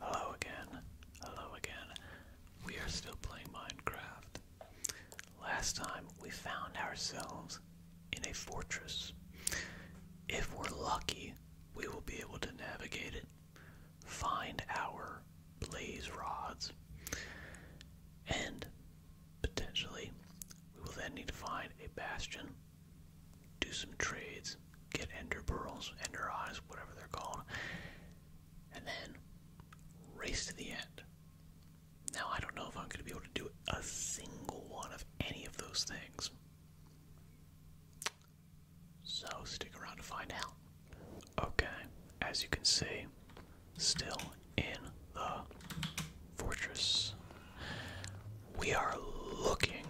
Hello again. Hello again. We are still playing Minecraft. Last time we found ourselves in a fortress. If we're lucky, we will be able to navigate it, find our blaze rods, and potentially we will then need to find a bastion, do some trades, get ender pearls, ender eyes, whatever they're called, and then race to the end. Now, I don't know if I'm going to be able to do a single one of any of those things. So, stick around to find out. Okay, as you can see, still in the fortress. We are looking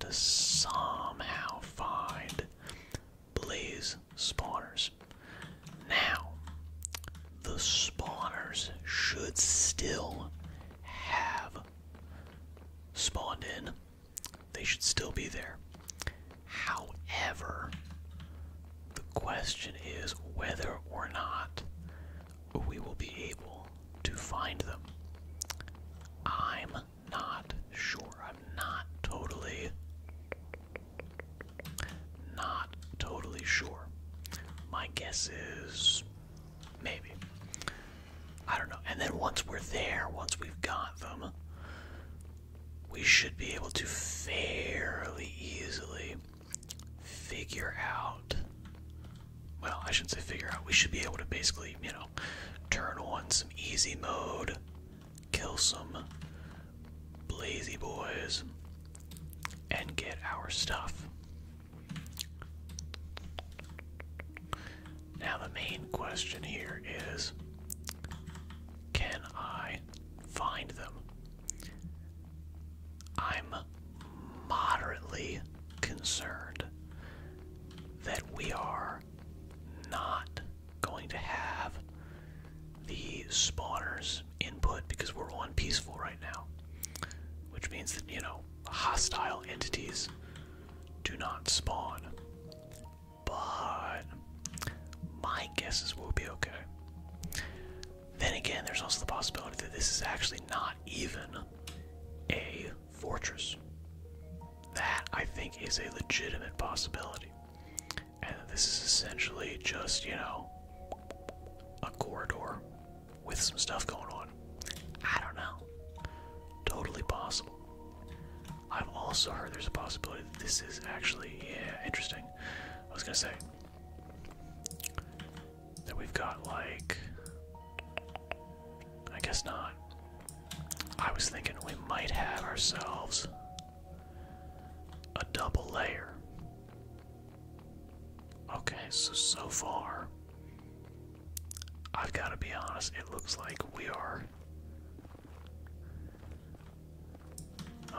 to somehow find blaze spawners. Now, the spawners should still have spawned in. They should still be there. However, the question is whether or not we will be able to find them. I'm not sure. I'm not totally not totally sure. My guess is maybe. I don't know. And then once we're there, once we've got them, we should be able to fairly easily figure out well, I shouldn't say figure out. We should be able to basically, you know, Turn on some easy mode. Kill some lazy boys. And get our stuff. Now, the main question here is can I find them? I'm moderately concerned that we are not going to have the spawners input because we're on peaceful right now. Which means that, you know, hostile entities do not spawn. But my guess is we'll be okay. Then again, there's also the possibility that this is actually not even a fortress. That, I think, is a legitimate possibility. And this is essentially just, you know, a corridor with some stuff going on. I don't know. Totally possible. I've also heard there's a possibility that this is actually, yeah, interesting. I was gonna say that we've got like I guess not. I was thinking we might have ourselves a double layer. Okay, so so far, I've got to be honest, it looks like we are.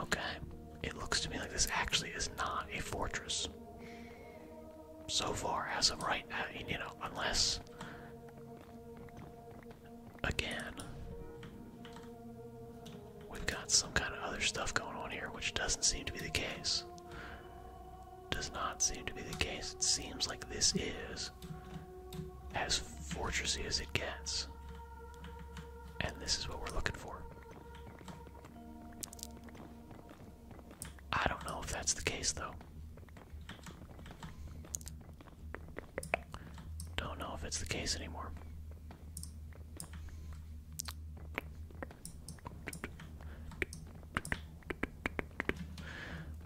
Okay, it looks to me like this actually is not a fortress. So far, as of right now, uh, you know, unless Again, we've got some kind of other stuff going on here, which doesn't seem to be the case. Does not seem to be the case. It seems like this is as fortressy as it gets. And this is what we're looking for. I don't know if that's the case, though. Don't know if it's the case anymore.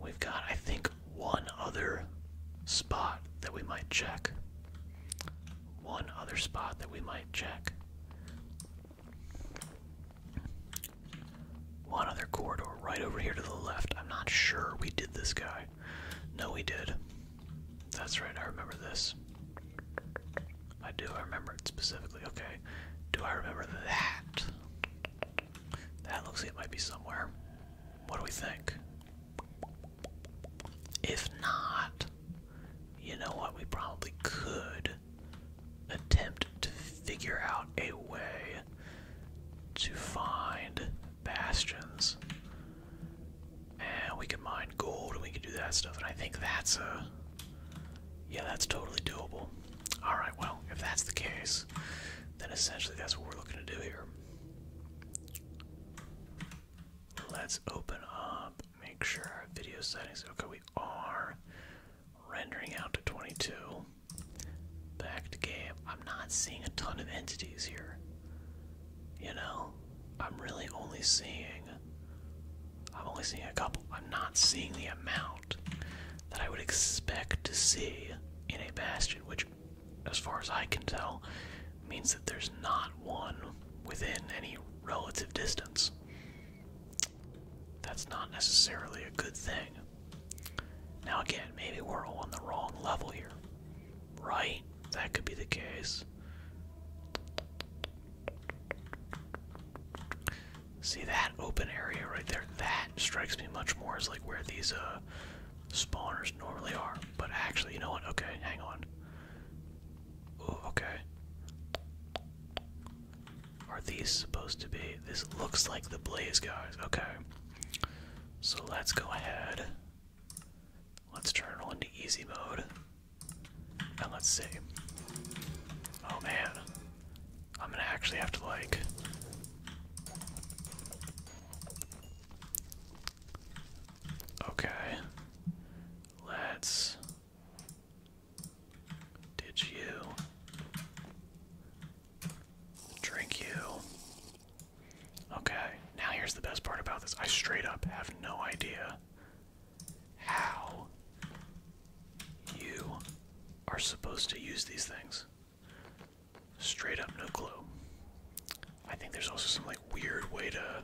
We've got, I think, one other spot that we might check. One other spot that we might check. One other corridor right over here to the left. I'm not sure we did this guy. No, we did. That's right, I remember this. I do, I remember it specifically. Okay, do I remember that? That looks like it might be somewhere. What do we think? If not, you know what? We probably could attempt to figure out a way to find bastions. And we can mine gold and we can do that stuff. And I think that's a. Yeah, that's totally doable. Alright, well, if that's the case, then essentially that's what we're looking to do here. Let's open up, make sure our video settings. Okay, we are rendering out to 22. Back to game. I'm not seeing a ton of entities here. You know? I'm really only seeing. I'm only seeing a couple. I'm not seeing the amount that I would expect to see in a bastion, which, as far as I can tell, means that there's not one within any relative distance. That's not necessarily a good thing. Now again, maybe we're all on the wrong level here. Right? That could be the case. See that open area right there? That strikes me much more as like where these uh spawners normally are. But actually, you know what? Okay, hang on. Ooh, okay. Are these supposed to be? This looks like the blaze guys. Okay. So let's go ahead. Let's turn on to easy mode. And let's see. Oh man. I'm gonna actually have to like. Okay. Let's. Did you? Drink you. Okay, now here's the best part about this. I straight up have no idea how you are supposed to use these things. Straight up, no clue. I think there's also some like weird way to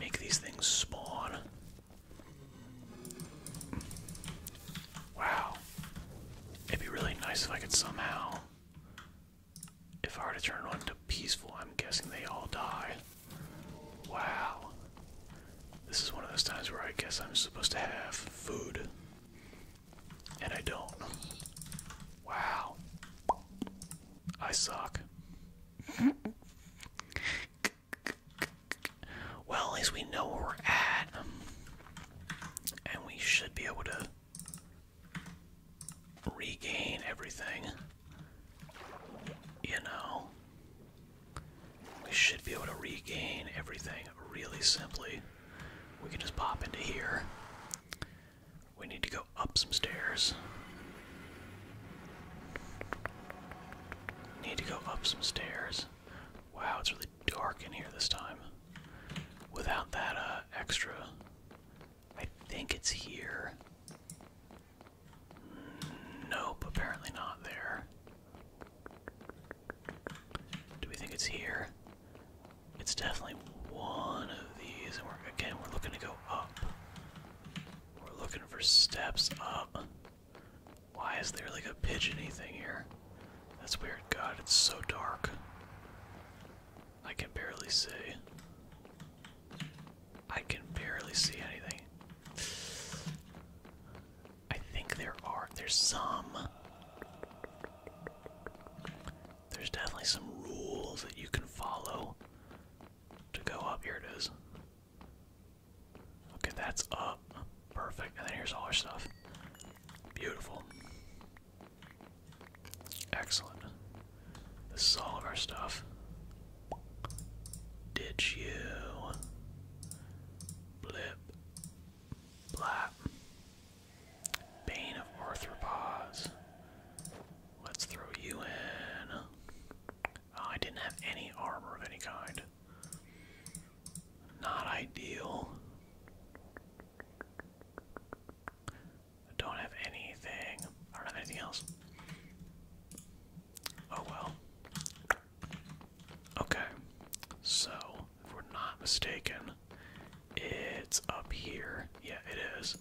make these things spawn. Wow. It'd be really nice if I could somehow. If I were to turn one to peaceful, I'm guessing they all die. Wow. This is one of those times where I guess I'm supposed to have food. And I don't. Wow. I suck. well, at least we know where we're at. And we should be able to regain everything. You know, we should be able to regain everything really simply. We can just pop into here. We need to go up some stairs. Need to go up some stairs. Wow, it's really dark in here this time. Without that uh, extra. I think it's here. Nope, apparently not there. Do we think it's here? It's definitely one of these, and we're again we're looking to go up. We're looking for steps up. Why is there like a pigeony thing here? That's weird. God, it's so dark. I can barely see. I can barely see anything. I think there are. There's some. There's definitely some rules that you can follow to go up. Here it is. Okay, that's up. Perfect. And then here's all our stuff. Beautiful. Excellent. This is all of our stuff. Ditch you. Blip. Blap. Bane of Arthropods. Let's throw you in. Oh, I didn't have any armor of any kind. Not ideal. I don't have anything. I don't have anything else. Oh well. Okay. So, if we're not mistaken, it's up here. Yeah, it is.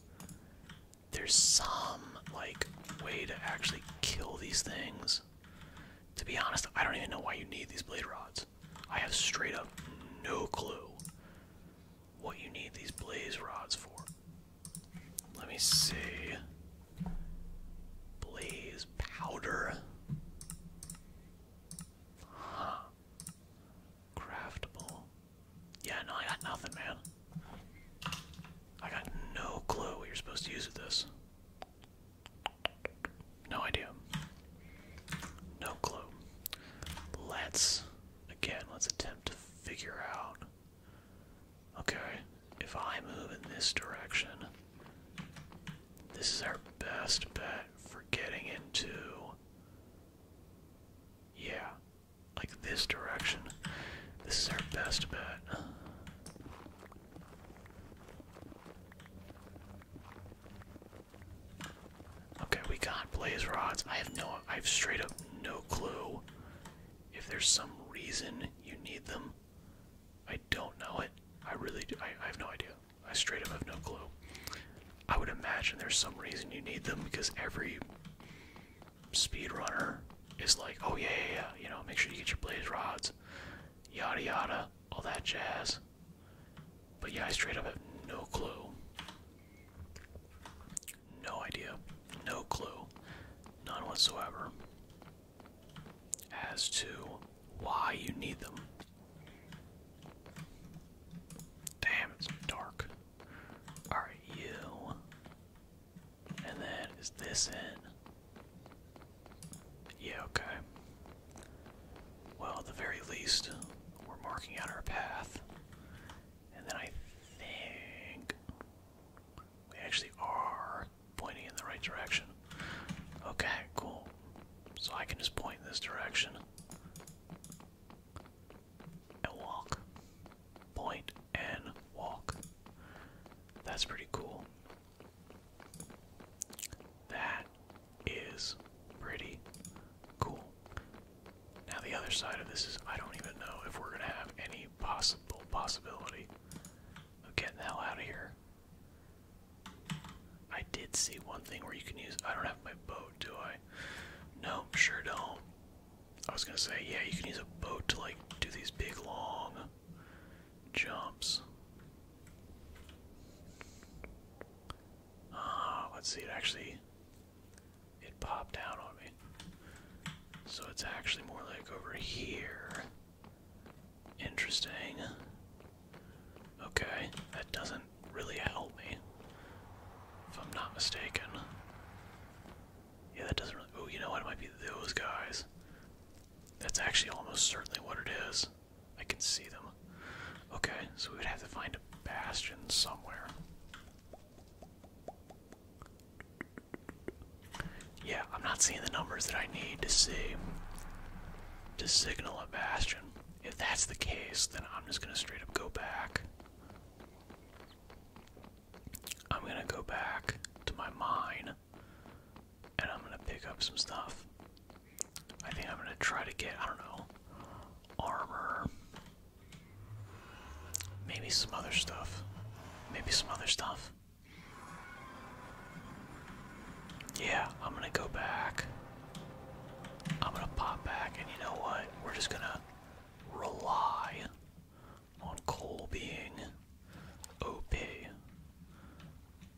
There's some, like, way to actually kill these things. To be honest, I don't even know why you need these blade rods. I have straight up no clue what you need these blaze rods for. Let me see. Blaze powder. Huh. Craftable. Yeah, no, I got nothing, man. I got no clue what you're supposed to use with this. No idea. No clue. Let's, again, let's attempt to figure out. Okay, if I move in this direction, this is our best bet for getting into. Yeah, like this direction. This is our best bet. Okay, we got blaze rods. I have no, I have straight up no clue if there's some reason you need them. I don't know it. I really, do. I, I have no idea. I straight up have no clue. I would imagine there's some reason you need them because every speedrunner is like, oh yeah, yeah, yeah, you know, make sure you get your blaze rods, yada yada, all that jazz. But yeah, I straight up have no clue. No idea. No clue. None whatsoever. As to why you need them. Damn, it's dark. Alright, you. And then, is this in? Yeah, okay. Well, at the very least, we're marking out our path. And then I think we actually are pointing in the right direction. Okay, cool. So I can just point in this direction. And walk. Point and walk. That's pretty cool. That is pretty cool. Now the other side of this is I don't even know if we're gonna have any possible possibility of getting the hell out of here. I did see one thing where you can use I don't have my boat, do I? Nope, sure don't. I was gonna say, yeah, you can use a boat to like do these big long jumps. Ah, let's see, it actually it popped out on me. So it's actually more like over here. Interesting. Okay, that doesn't really help me. If I'm not mistaken. Yeah, that doesn't really. Oh, you know what? It might be those guys. That's actually almost certainly what it is. I can see them. Okay, so we would have to find a bastion somewhere. Yeah, I'm not seeing the numbers that I need to see to signal a bastion. If that's the case, then I'm just gonna straight up go back. I'm gonna go back to my mine and I'm gonna pick up some stuff. I think I'm gonna try to get, I don't know, armor. Maybe some other stuff. Maybe some other stuff. Yeah, I'm gonna go back. I'm gonna pop back, and you know what? We're just gonna rely on coal being OP.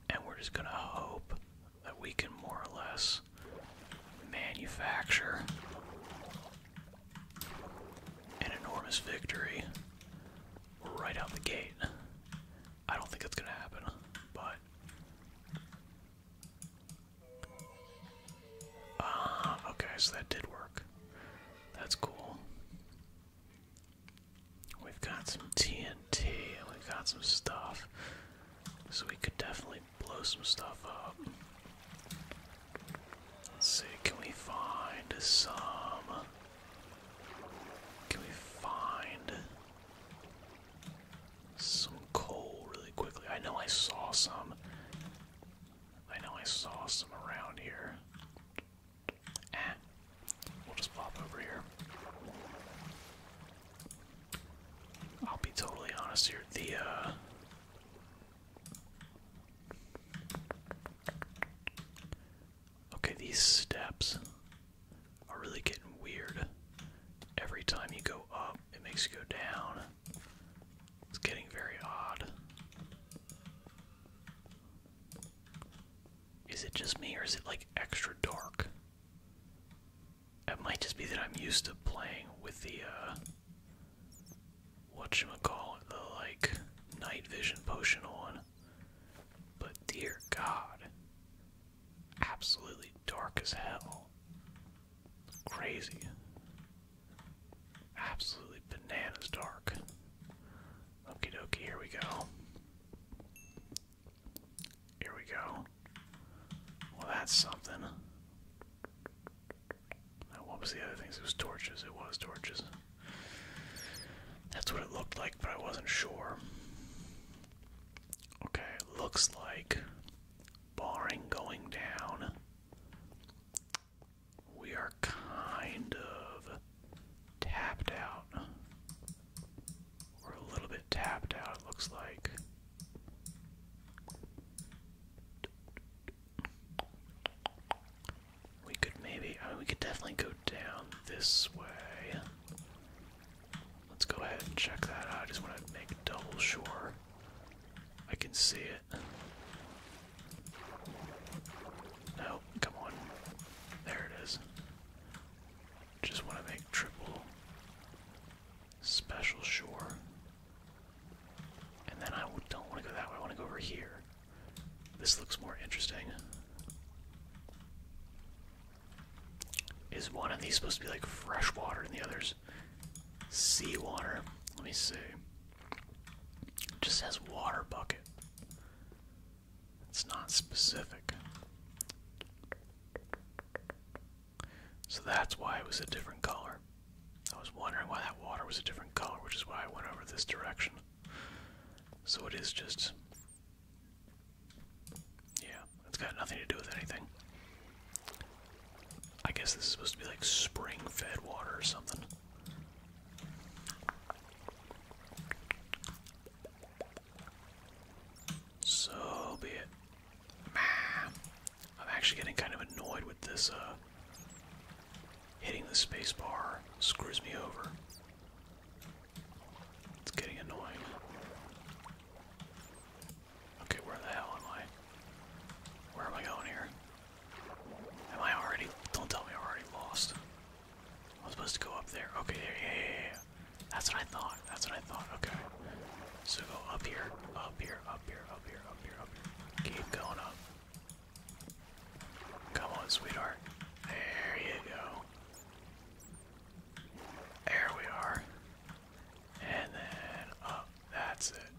And we're just gonna hope that we can more or less manufacture an enormous victory right out the gate. I don't think it's going to happen, but. Ah, okay, so that did work. That's cool. We've got some TNT and we've got some stuff. So we could definitely blow some stuff up. Let's see, can we find some. Can we find some coal really quickly? I know I saw some. I know I saw some around here. Ah, We'll just pop over here. I'll be totally honest here. The uh Okay, these steps are really getting weird. Every time you go up, it makes you go down. It's getting very odd. Is it just me or is it like extra dark? It might just be that I'm used to playing with the what uh whatchamacallit, the like night vision potion on. But dear god. Absolutely dark as hell. Crazy. Absolutely bananas dark. Okie dokie, here we go. Here we go. Well, that's something. Now, what was the other things? It was torches. It was torches. That's what it looked like, but I wasn't sure. Okay, it looks like, barring going down, we are kind of tapped out. We're a little bit tapped out, it looks like. We could maybe, I mean, we could definitely go down this way. Let's go ahead and check that out. I just want to make double sure I can see it. No, come on. There it is. Just want to make triple special shore. And then I don't want to go that way. I want to go over here. This looks more interesting. Is one of these supposed to be like fresh water and the other's seawater? Let me see. It just says water bucket. It's not specific. So that's why it was a different color. I was wondering why that water was a different color, which is why I went over this direction. So it is just. Yeah, it's got nothing to do with anything. I guess this is supposed to be like spring fed water or something. So be it. Ah, I'm actually getting kind of annoyed with this, uh, Hitting the spacebar screws me over. It's getting annoying. Okay, where the hell am I? Where am I going here? Am I already. Don't tell me I'm already lost. I'm supposed to go up there. Okay, yeah, yeah, yeah, yeah. That's what I thought. That's what I thought. Okay. So go up here, up here, up here, up here, up here, up here. Keep going up. Come on, sweetheart. There you go. There we are. And then up. That's it.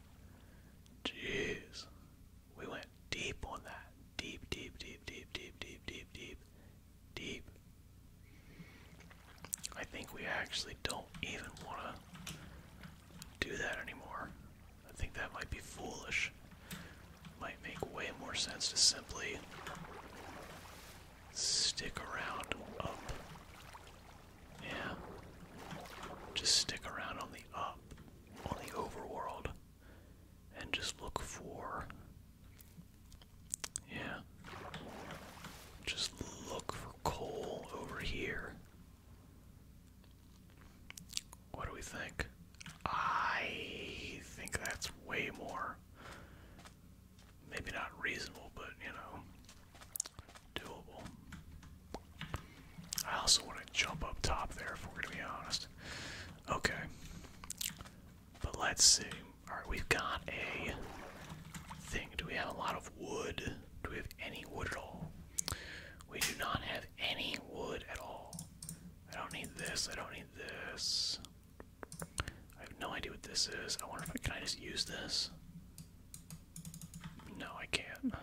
Jeez. We went deep on that. Deep, deep, deep, deep, deep, deep, deep, deep deep. I think we actually don't even want to do that anymore. I think that might be foolish. Might make way more sense to simply stick around up. Yeah. Just stick around on the up, on the overworld, and just look for yeah. Just look for coal over here. What do we think? I think that's way more. Maybe not reasonable, but you know, doable. I also want to jump up top there, if we're going to be honest. Okay. But let's see. Alright, we've got a thing. Do we have a lot of wood? Do we have any wood at all? We do not have any wood at all. I don't need this. I don't need this. I have no idea what this is. I wonder if I can I just use this? No, I can't.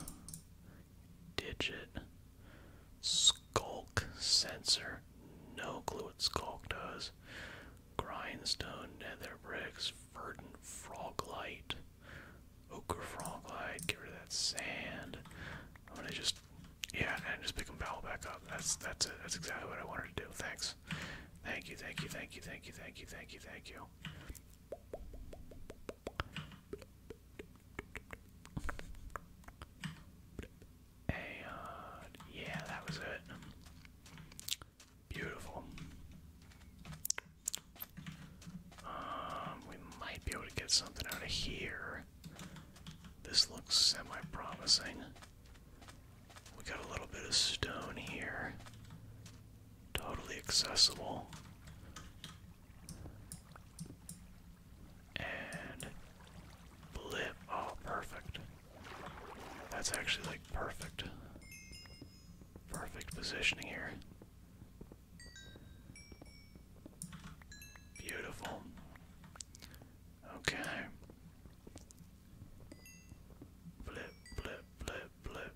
Digit. Skulk sensor. No clue what skulk does. Grindstone, Nether Bricks, Verdant Froglight, Ochre Froglight, get rid of that sand. I'm gonna just, yeah, and just pick them back up. That's, that's it. That's exactly what I wanted to do. Thanks. Thank you, thank you, thank you, thank you, thank you, thank you, thank you yeah, that was it. Beautiful. Um, we might be able to get something out of here. This looks semi-promising. We got a little bit of stone here. Totally accessible. And blip. Oh, perfect. That's actually like perfect. Perfect positioning here. Beautiful. Okay. Blip, blip, blip, blip.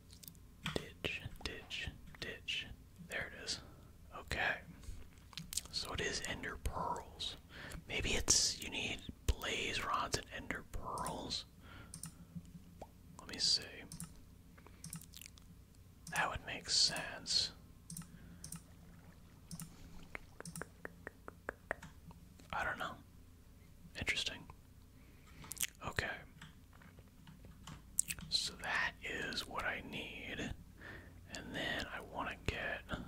Ditch, ditch, ditch. There it is. Okay. So it is Ender Pearls. Maybe it's you need blaze rods and Ender Pearls. Let me see. That would make sense. I don't know. Interesting. Okay. So that is what I need. And then I want to get.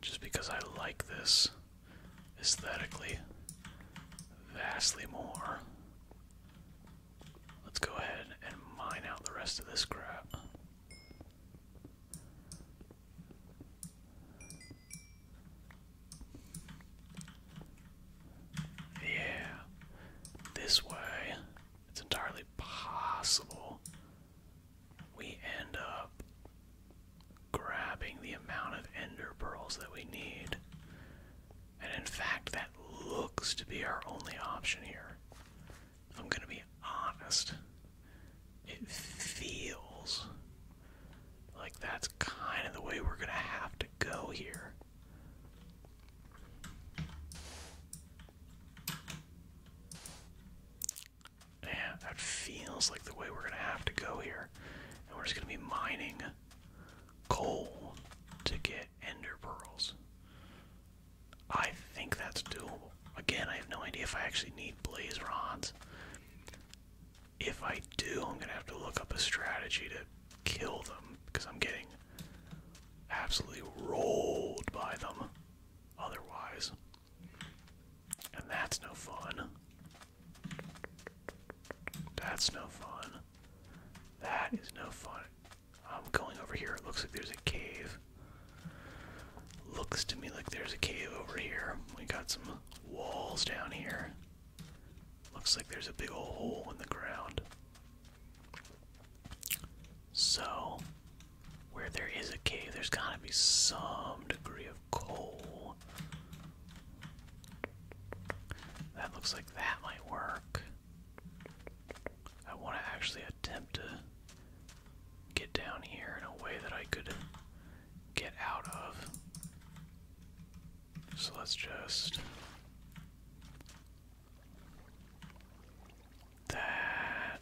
Just because I like this aesthetically vastly more. Let's go ahead and mine out the rest of this crap. Yeah, this way, it's entirely possible we end up grabbing the amount of ender pearls that we need. And in fact, that looks to be our only option here. If I'm gonna be honest it feels like that's kind of the way we're going to have to go here. Yeah, that feels like the way we're going to have to go here. And we're just going to be mining coal to get ender pearls. I think that's doable. Again, I have no idea if I actually need blaze rods. If I do, I'm gonna have to look up a strategy to kill them because I'm getting absolutely rolled by them otherwise. And that's no fun. That's no fun. That is no fun. I'm going over here. It looks like there's a cave. Looks to me like there's a cave over here. We got some walls down here. Looks like there's a big old hole in the ground. So, where there is a cave, there's gotta be some degree of coal. That looks like that might work. I want to actually attempt to get down here in a way that I could get out of. So let's just. That.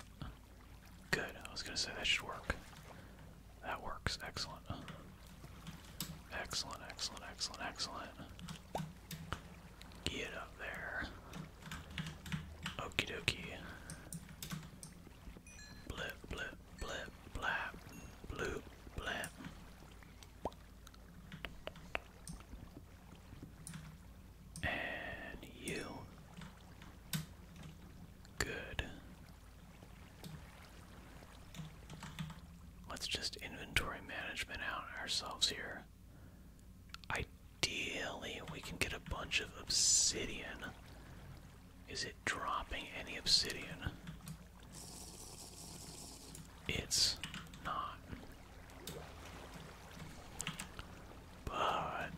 Good. I was going to say that should work. That works. Excellent. Excellent, excellent, excellent, excellent. Get up there. Okie dokie blip, blip, blip, blap, blue, blap. And you. Good. Let's just inventory management out ourselves here. Ideally, we can get a bunch of obsidian. Is it dropping any obsidian? It's not. But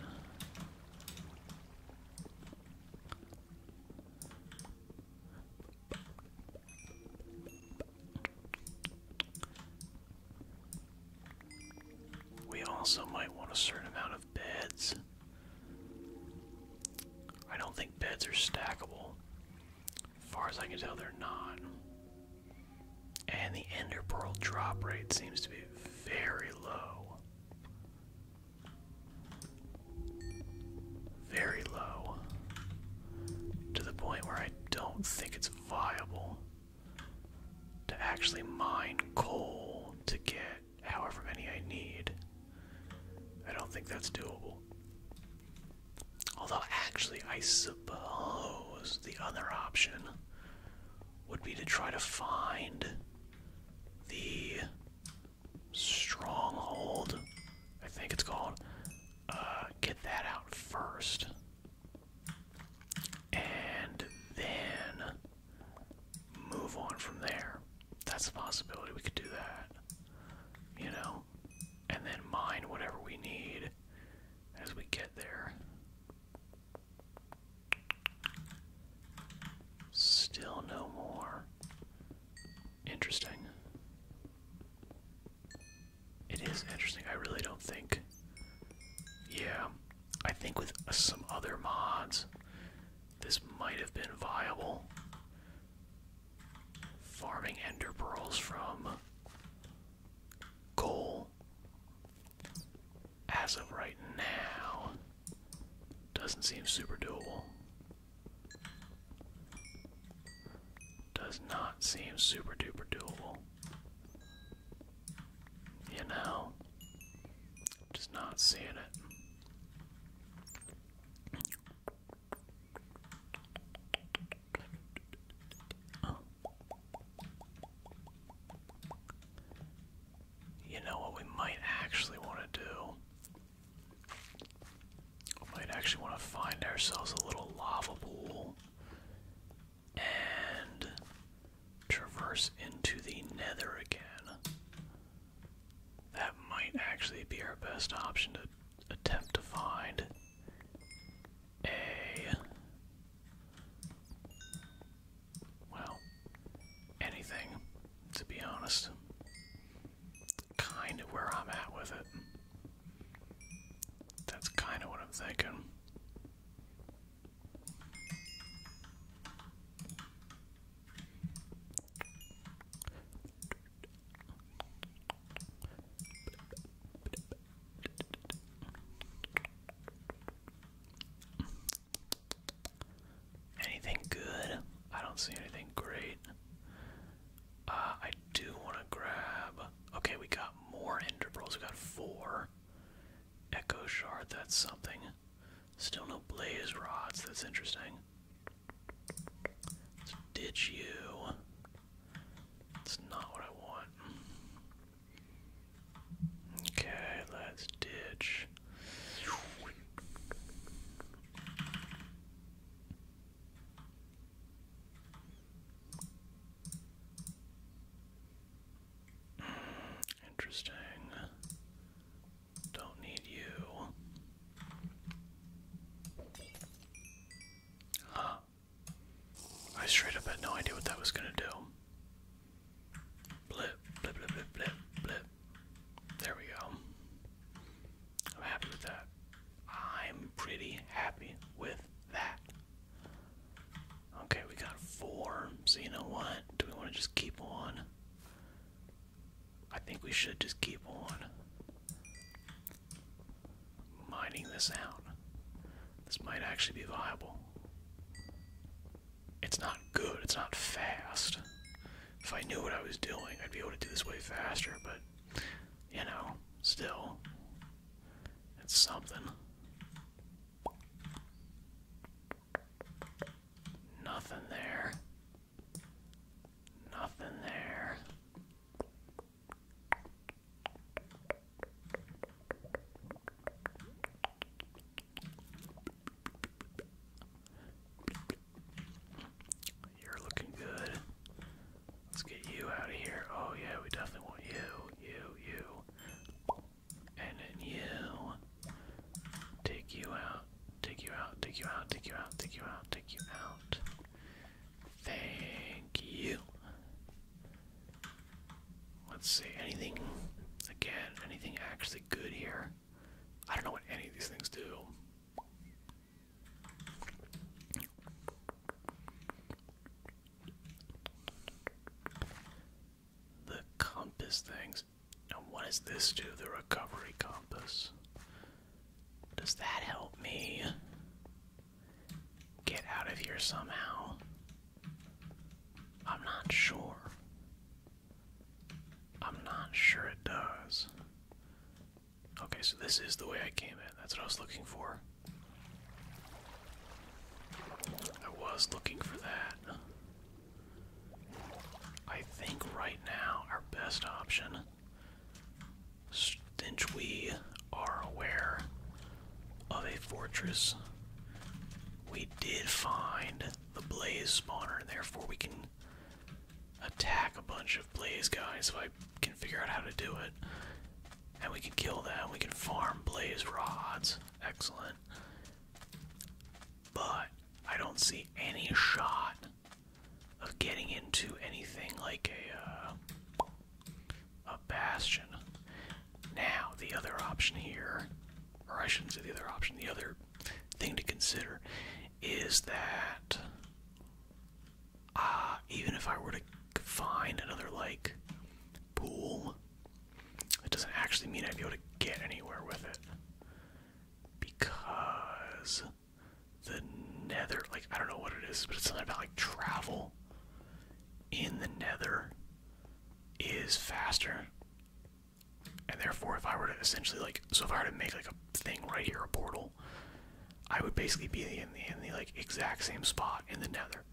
we also might want a certain amount of beds I don't think beds are stackable. As far as I can tell, they're not. And the Ender Pearl drop rate seems to be very low. Very low. To the point where I don't think it's viable to actually mine coal to get however many I need. I don't think that's doable. Although, actually, I suppose the other option would be to try to find the stronghold, I think it's called. Uh, get that out first. And then move on from there. That's a possibility. We could do that. You know? And then mine whatever we need as we get there. Still no more. Interesting. It is interesting. I really don't think. Yeah. I think with some other mods, this might have been viable. Farming ender pearls from coal. As of right now, doesn't seem super doable. Does not seem super duper doable. You know, just not seeing it. You know what we might actually want to do? We might actually want to find ourselves a little lava pool and traverse into the nether again. That might actually be our best option to attempt to find a. Well, anything, to be honest. Kind of where I'm at with it. That's kind of what I'm thinking. Anything good? I don't see anything great. Uh, I do want to grab. Okay, we got more Ender Pearls. We got four. Echo Shard, that's something. Still no blaze rods. That's interesting. Let's ditch you. That's not what I want. Okay, let's ditch. Interesting. Don't need you. Huh. I straight up had no idea what that was gonna do. Blip, blip, blip, blip, blip, There we go. I'm happy with that. I'm pretty happy with that. Okay, we got four. So you know what? Do we want to just keep on I think we should just keep on mining this out. This might actually be viable. It's not good, it's not fast. If I knew what I was doing, I'd be able to do this way faster, but you know, still, it's something. Nothing there. Nothing there. You're looking good. Let's get you out of here. Oh, yeah, we definitely want you. You, you and then you take you out, take you out, take you out, take you out, take you out, take you out. Thank you. Let's see, anything again, anything actually good here? I don't know what any of these things do. The compass things. And what does this do? The recovery compass. Does that help me get out of here somehow? I'm not sure. I'm not sure it does. Okay, so this is the way I came in. That's what I was looking for. I was looking for that. I think right now our best option, since we are aware of a fortress, we did find the blaze spawner, and therefore we can attack a bunch of blaze guys if I can figure out how to do it. And we can kill them, we can farm blaze rods. Excellent but I don't see any shot of getting into anything like a uh, a bastion. Now the other option here, or I shouldn't say the other option, the other thing to consider is that uh, even if I were to find another like pool it doesn't actually mean I'd be able to get anywhere with it. Because the nether, like, I don't know what it is, but it's something about, like, travel in the nether is faster. And therefore, if I were to essentially, like, so if I were to make, like, a thing right here, a portal, I would basically be in the, in the like, exact same spot in the nether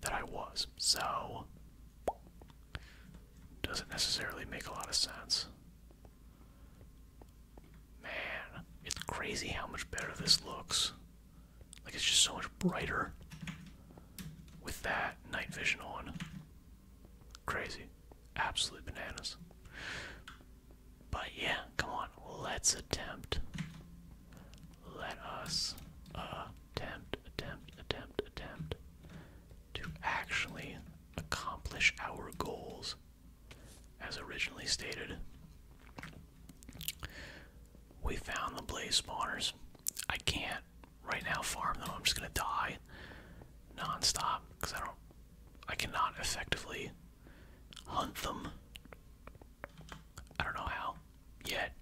that I was. So, doesn't necessarily make a lot of sense. Man, it's crazy how much better this looks. Like, it's just so much brighter with that night vision on. Crazy. Absolute bananas. But yeah, come on, let's attempt. Let us attempt, attempt, attempt, attempt, to actually accomplish our goals as originally stated. We found the blaze spawners. I can't right now farm them. I'm just gonna die non-stop because I don't I cannot effectively hunt them. I don't know how yet.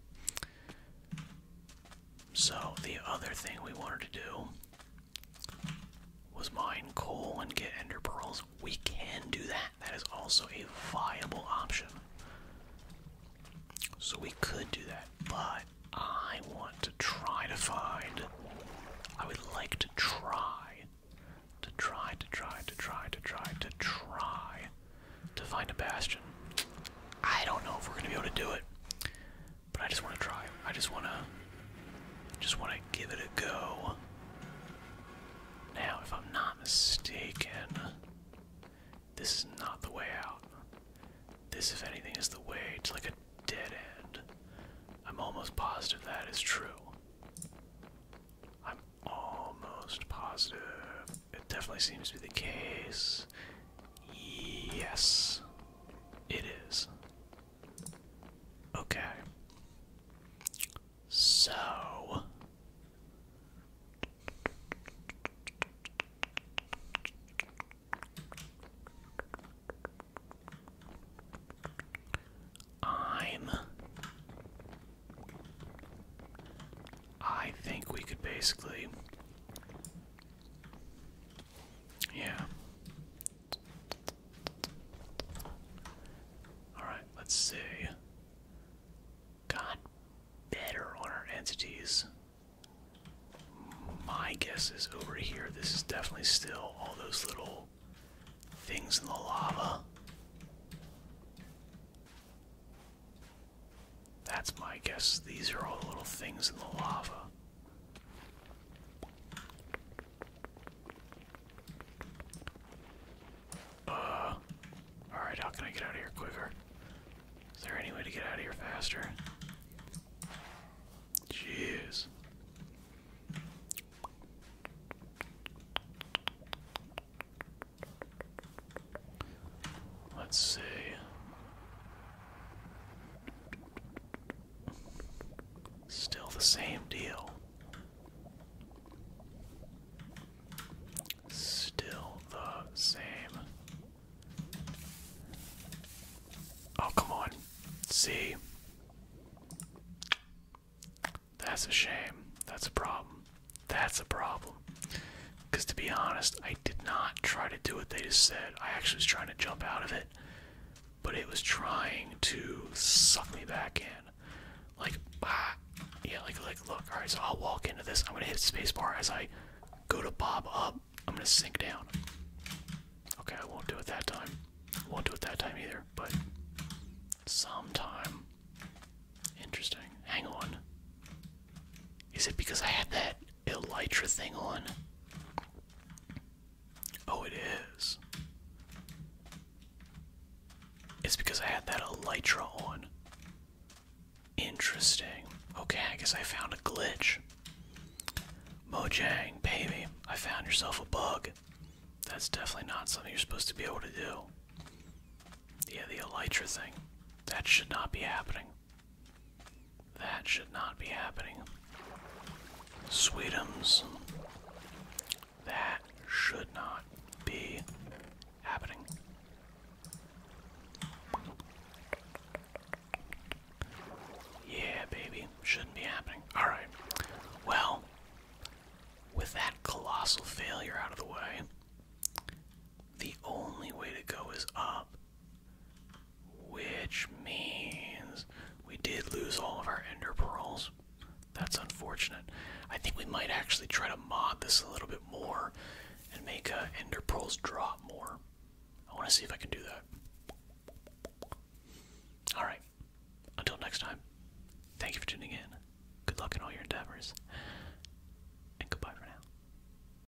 So, the other thing we wanted to do was mine coal and get ender pearls. We can do that. That is also a viable option. So, we could do that, but I want to try to find. I would like to try. To try, to try, to try, to try, to try to find a bastion. I don't know if we're going to be able to do it. But I just want to try. I just want to just want to give it a go. Now, if I'm not mistaken, this is not the way out. This, if anything, is the way It's like a dead end. I'm almost positive that is true. I'm almost positive. It definitely seems to be the case. Yes, it is. Okay. So. I'm. I think we could basically yeah. Alright, let's see. Got better on our entities. My guess is over here. This is definitely still all those little things in the lava. That's my guess. These are all little things in the lava. Uh, alright, how can I get out of here quicker? Is there any way to get out of here faster? Jeez. Let's see. Still the same deal. Still the same. Oh, come on. See? That's a shame. That's a problem. That's a problem. Because to be honest, I did not try to do what they just said. I actually was trying to jump out of it, but it was trying to suck me back in. Like, ah, yeah, like, like, look, all right, so I'll walk into this. I'm gonna hit spacebar as I go to bob up. I'm gonna sink down. Okay, I won't do it that time. Won't do it that time either, but sometime. Interesting. Hang on. Is it because I had that elytra thing on? Oh, it is. It's because I had that elytra on. Interesting. Okay, I guess I found a glitch. Mojang, baby, I found yourself a bug. That's definitely not something you're supposed to be able to do. Yeah, the elytra thing. That should not be happening. That should not be happening. Sweetums. That should not be happening. Yeah, baby. Shouldn't be happening. Alright. Well, with that colossal failure out of the way, the only way to go is up. Which means we did lose all of our ender pearls. That's unfortunate. I think we might actually try to mod this a little bit more and make uh, ender pearls drop more. I want to see if I can do that. Alright. Until next time, thank you for tuning in. Good luck in all your endeavors. And goodbye for now.